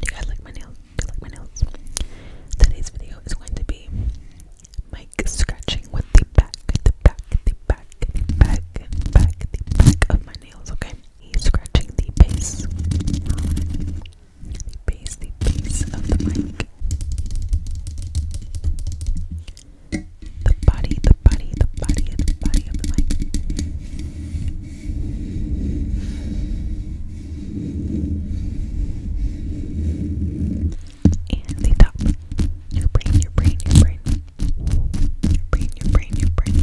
you guys like my nails? like my nails? Today's video is going to be Mike scratching with the back, the back, the back, back, back, the back of my nails, okay? He's scratching the base. The base, the base of the mic. The body, the body, the body, the body of the and the top. Your brain, your brain, your brain. Your brain, your brain, your brain.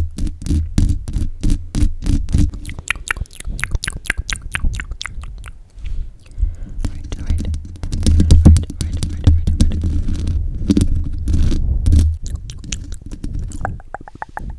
Right, right. Right, right, right, right, right.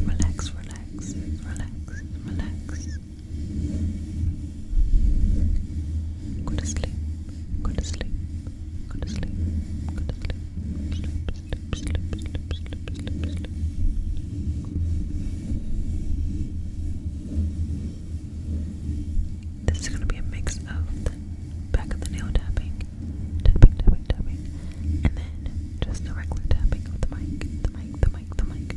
Relax, relax, relax, relax. Go to sleep, go to sleep, go to sleep, go to sleep, sleep, sleep, sleep, sleep, sleep, sleep, sleep. This is going to be a mix of the back of the nail tapping, tapping, tapping, tapping, and then just the tapping the mic, the mic, the mic, the mic.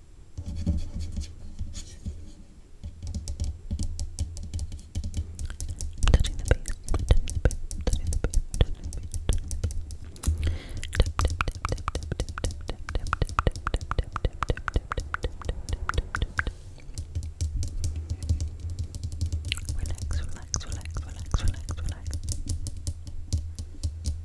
touching the base, touching the base, touching the base, touching the base, touching the base. Tap, tap, tap, tap, tap, tap, tap, tap, tap, tap, tap, tap, tap, tap, tap, tap, tap, Relax, relax, relax, relax, relax, relax.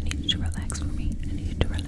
I need to relax for me. I need to relax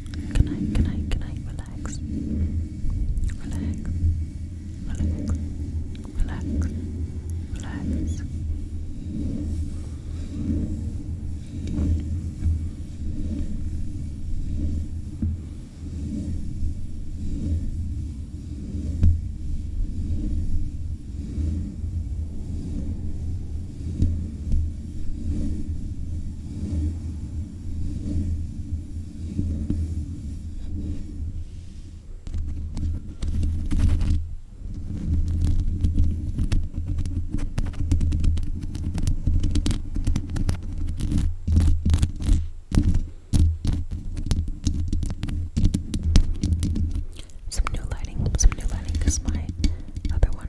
Good night, good night, good night. Relax. Relax. Relax. Relax. Relax. Some new lighting, some new lighting because my other one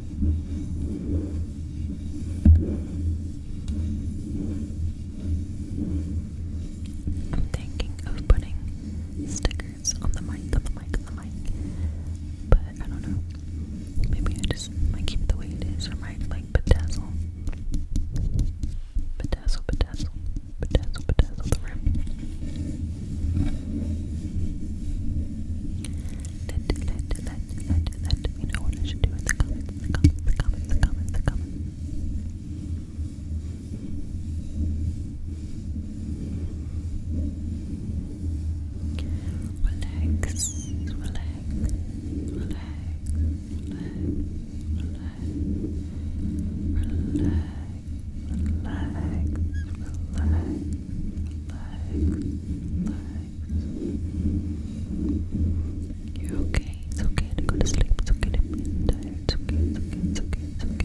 I'm thinking of putting stickers on the mic, on the mic, on the mic. But I don't know. Maybe I just might keep it the way it is or might like bedazzle. Bedazzle, bedazzle, bedazzle, bedazzle the rim. Let, let, let, let, let me know what I should do in the comments, the comments, the comments, the comments, the comments. Relax, relax, relax, relax, relax, relax relax, you okay, it's okay to go to sleep, it's okay to be tired, it's okay, it's okay, it's okay, it's okay.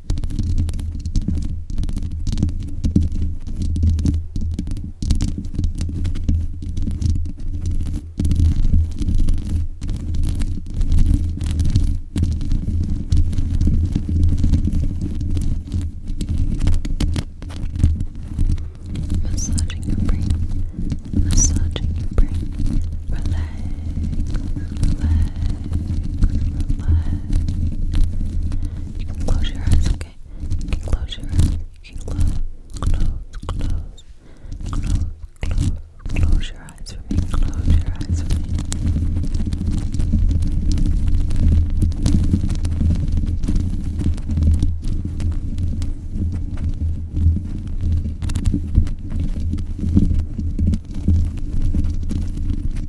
Massaging your brain, massaging your brain, relax, relax. You can close your eyes, okay? You can close your eyes. You can close, close, close, close, close, close your eyes for me. Close your eyes for me.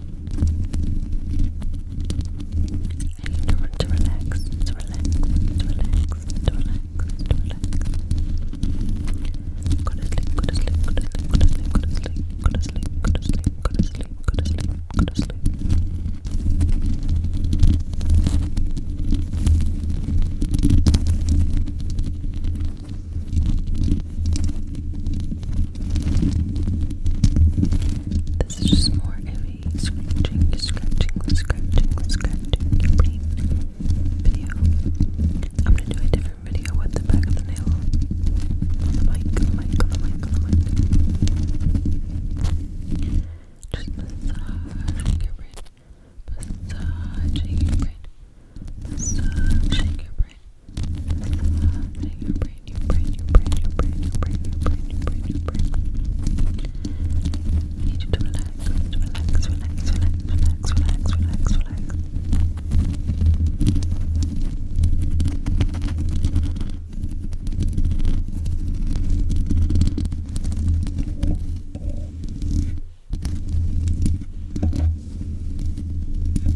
I need to, to relax, to relax, to relax, to relax, to relax. Go to sleep, go to sleep, go to sleep, go to sleep, go to sleep, go to sleep, go to sleep, go to sleep, go to sleep, go to sleep. Go this is just more of a scratching, scratching, scratching, scratching your video. I'm gonna do a different video with the back of the nail on the mic, mic, on the mic, on the mic. Just massaging your brain, massaging your brain, massaging your brain. Your brain, your brain, your brain, your brain, your brain, your brain, your brain, your brain. You need you to relax, relax, relax, relax, relax, relax, relax, relax. Relax,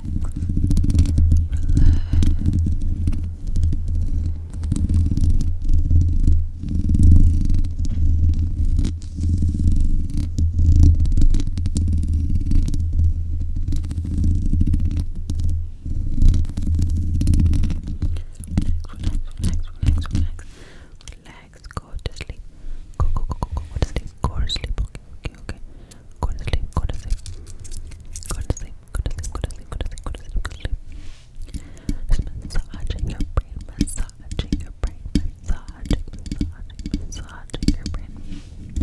relax, go to sleep, go, go, go, go, go, go to sleep, go to sleep, okay, okay, okay Go to sleep, go to sleep. Go to sleep, go to sleep, go to sleep, go to sleep, go to sleep, go to sleep. Just massaging your brain, massaging your brain, massaging, massaging, massaging your brain. Good,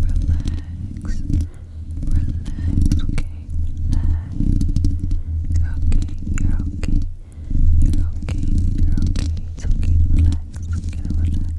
Relax. Relax, okay? Relax. You're okay, you're okay. You're okay, you're okay. It's okay, relax. Okay, relax. Relax.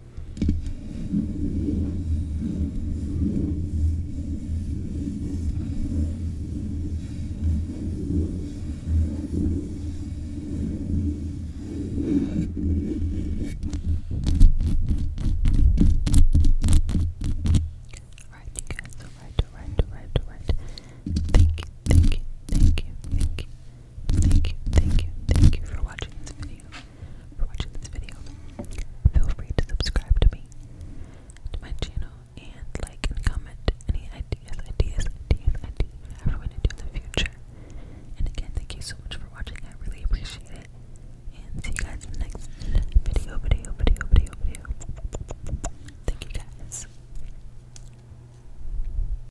Alright, you guys, alright, alright, alright, alright. Thank you, thank you, thank you, thank you. Thank you, thank you, thank you for watching this video. For watching this video. Feel free to subscribe to me, to my channel, and like and comment any ideas, ideas, ideas, ideas, whatever you want to do in the future. And again, thank you so much for watching. I really appreciate it. And see you guys in the next video, video, video, video, video. Thank you guys.